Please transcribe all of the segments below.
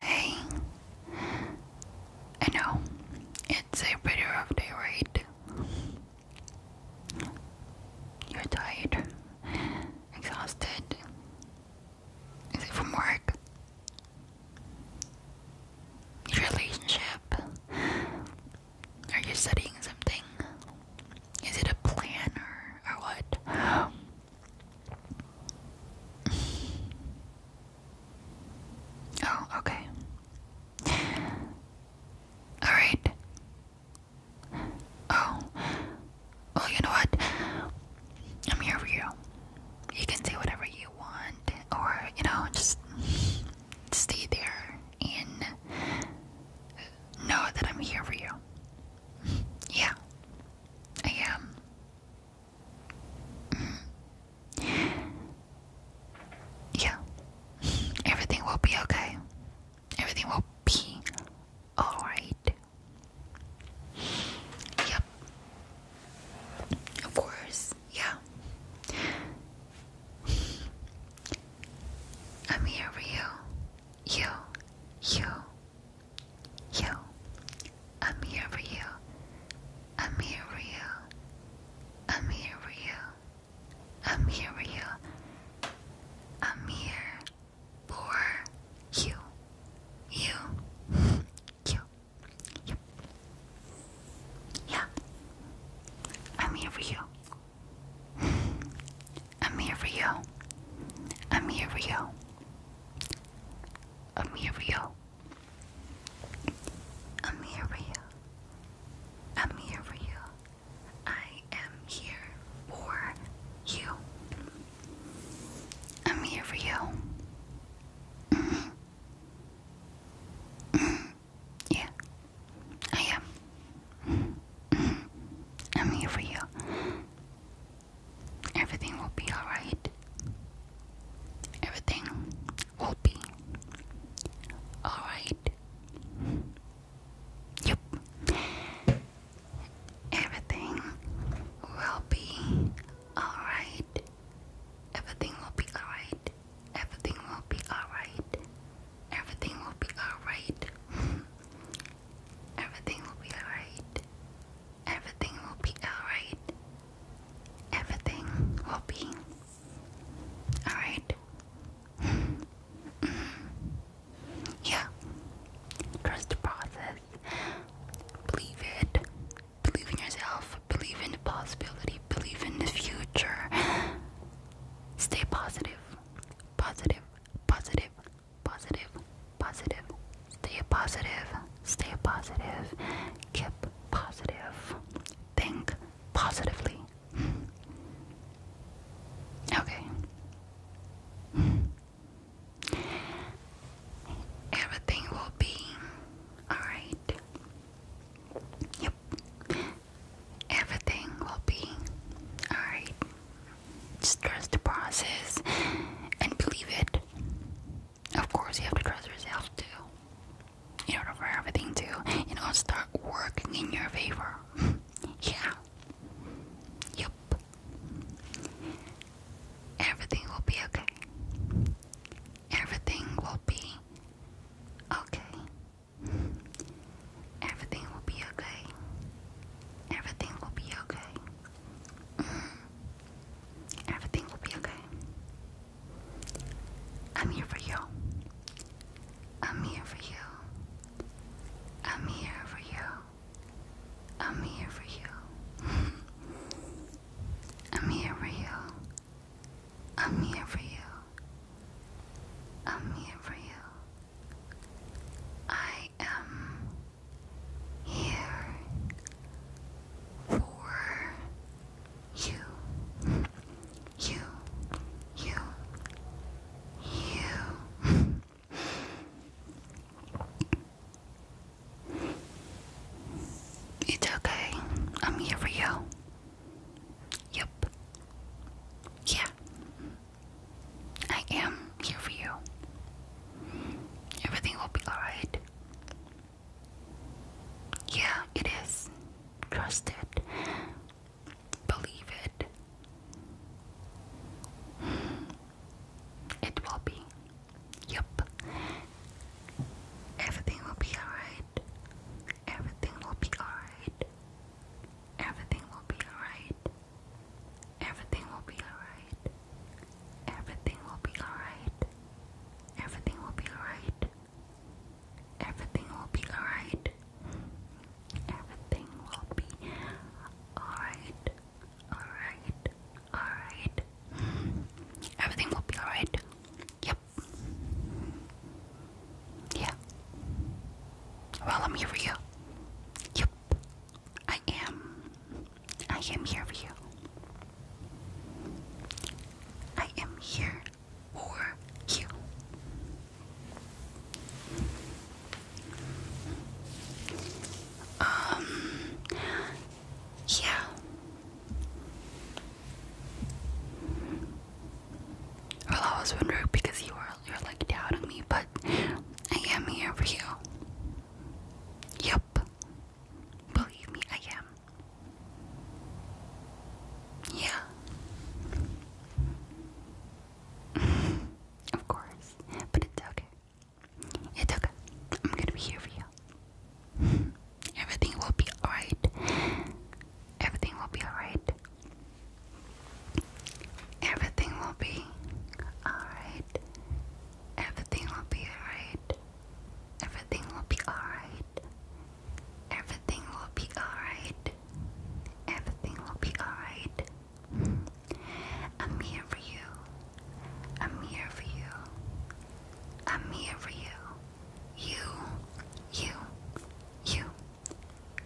Hey, I know it's a pretty rough day, right? You're tired, exhausted. Is it from work? Your relationship? Are you studying something? Is it a plan or, or what? Oh, okay. Alright. Oh. Oh, you know what? I'm here for you. You can say whatever you want, or, you know, just stay there and know that I'm here for you. Yeah, I am. yeah, everything will be okay. Everything will be alright. Yep. Of course, yeah. I'm here for you. You, you, Yo, I'm here for you. I'm here for you. I'm here for you. I'm here for you. I'm here for you. You. You. You. Yeah. I'm here for you. I'm here for you. I'm here for you. I'm here for you. I'm here for you. I'm here for you. I am here for you. I'm here for you. Yeah, I am. I'm here for you. Everything will be alright. Everything will be alright. Yep. Everything will be alright. Everything will be alright. Everything will be alright. Everything will be alright. Everything will be alright. Everything will be alright. yeah. Trust the process. Believe it. Believe in yourself. Believe in the possibility. Believe in the future. Stay positive. Positive. Positive positive, positive, stay positive, stay positive, keep positive, think positively. Okay. Everything will be alright. Yep. Everything will be alright. Just trust the process and believe it. Of course, you have to trust yourself too. In order for everything to, you know, start working in your favor. yeah. Yep. Everything will be okay. Everything will be okay. Everything will be okay. Everything will be okay. Everything will be okay. I'm here for you. I'm here for you. I'm here for you. I'm here for you. I'm here for you. I'm here for you. I'm here for you. I am here for you, you, you, you. It's okay. I'm here for you. Yep. Yeah. I am here for you. Everything will be alright. Yeah, it is. Trust it. Believe it. It will be. Yep. Everything will be alright. Everything will be alright. Everything will be alright. Everything will be alright. Everything will be alright. Everything will be alright. Everything will be alright. Everything will be alright. Alright. Alright. Everything will be alright. Yep. Yeah. Well, I'm here for you. Yep. I am. I am here for you. I am here for you. Um, yeah. Well, I was wondering because you were you're like doubting me, but I am here for you. Yep. Believe me, I am. Yeah. of course. But it's okay. It's okay. I'm gonna be here for you. Everything will be alright. Everything will be alright. Everything will be alright. Everything will be alright. Everything will be alright. Everything will be alright. Everything will be alright. I'm here for you. I'm here for you. I'm here for you. You, you, you,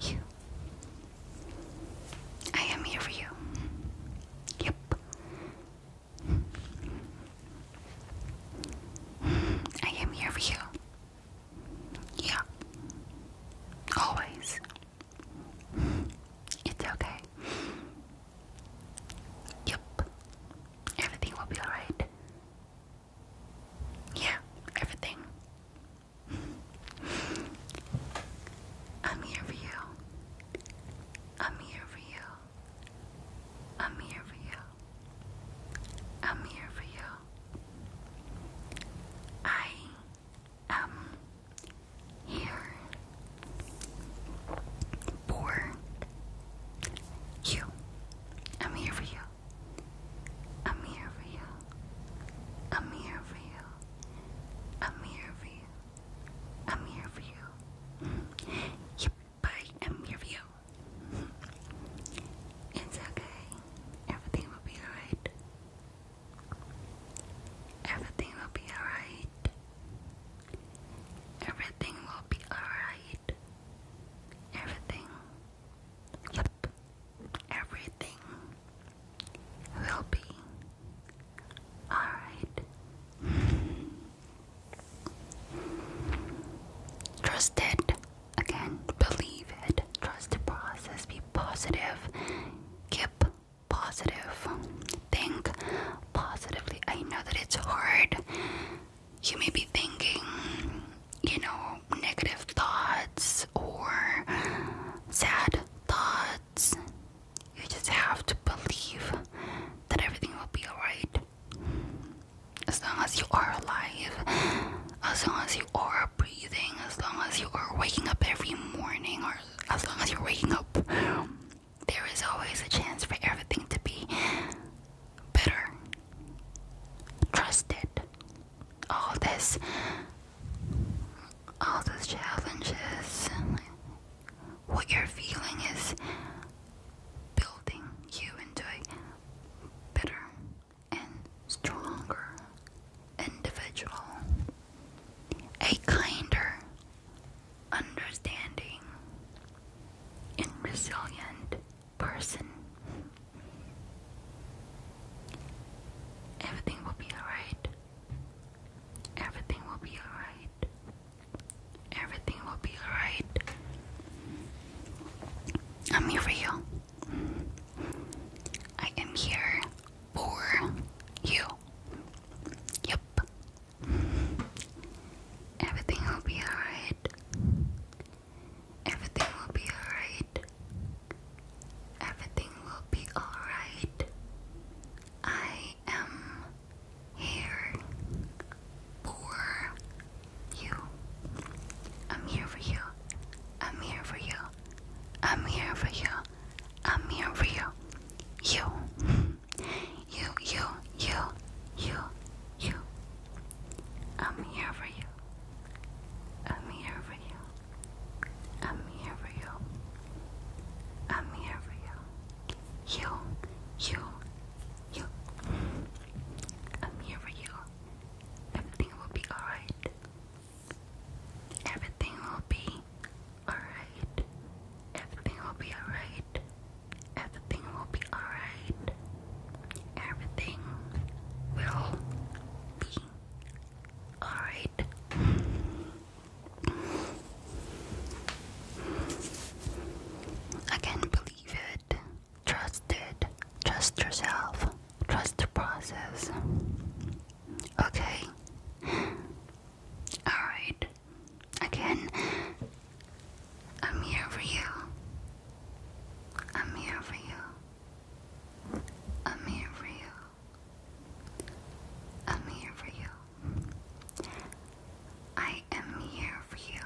you, I am here for you. Yep. I am here for you. Yeah. Always. It's okay. Yep. Everything will be alright. Yeah, everything. I'm here for you. I'm here for you. I'm here for you. I'm here for you. I am here for you. I'm here for you. I'm here for you. I'm here for you i am here for you i am here for you I'm here for you. I'm here for you. Yep, I'm here for you. It's okay. Everything will be alright. Everything will be alright. Everything will be alright. Everything. Yep everything will be alright. Trust it. Again, believe it. Trust the process. Be positive. Keep positive. Think positively. I know that it's hard. You may be thinking, you know, negative thoughts or sad thoughts. You just have to believe that everything will be alright. As long as you are alive, as long as you are breathing, as long as you are waking up every morning, or as long as you're waking up, there is always a chance for everything to be better. Trust it all this all those challenges what you're feeling is building you into a better and stronger individual a kinder understanding and resilient person Everything will be alright. Everything will be alright. Everything will be alright. I'm here for you. I am here for you. Yep. Everything will be alright. Everything will be alright. Everything will be alright. I am here for you. I'm here for you. I'm here for you. I'm here for you. You. You, you, you, you, you. I'm here for you. I'm here for you. I'm here for you. I'm here for you. You, you, you. I'm here for you. Everything will be alright. Everything will be alright. Everything will be alright. Everything will be alright. Everything will be Alright. I can't believe it. Trust it. Trust yourself. Trust the process. Okay? Alright. Again, I'm here for you. I'm here for you. I'm here for you. I'm here for you. I am here for you.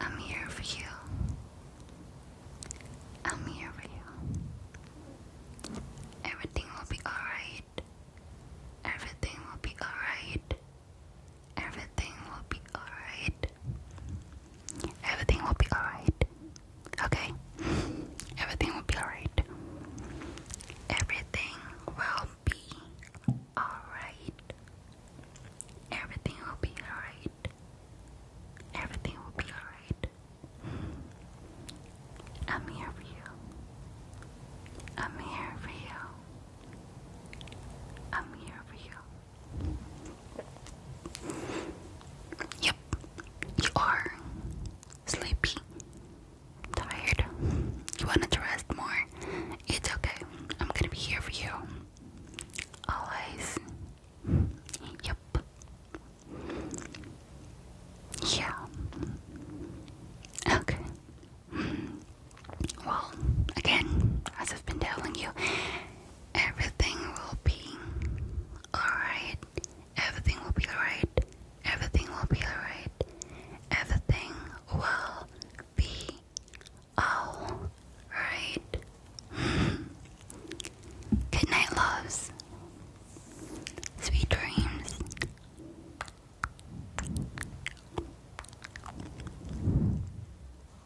I'm here for you. I'm here for you. Everything will be alright. Everything will be alright. Everything will be alright. Everything will be alright. Okay? Everything will be alright. Everything will be alright. Everything will be alright. Everything will be alright. I'm here for you. I'm here for you. I'm here for you. Yep, you are sleepy, tired. You wanted to rest more. It's okay. I'm gonna be here for you. Always. Yep. Yeah. Okay. Well, again, as I've been telling you, Everything will be alright. Everything will be alright. Everything will be alright. Everything will be alright. Good night, loves. Sweet dreams.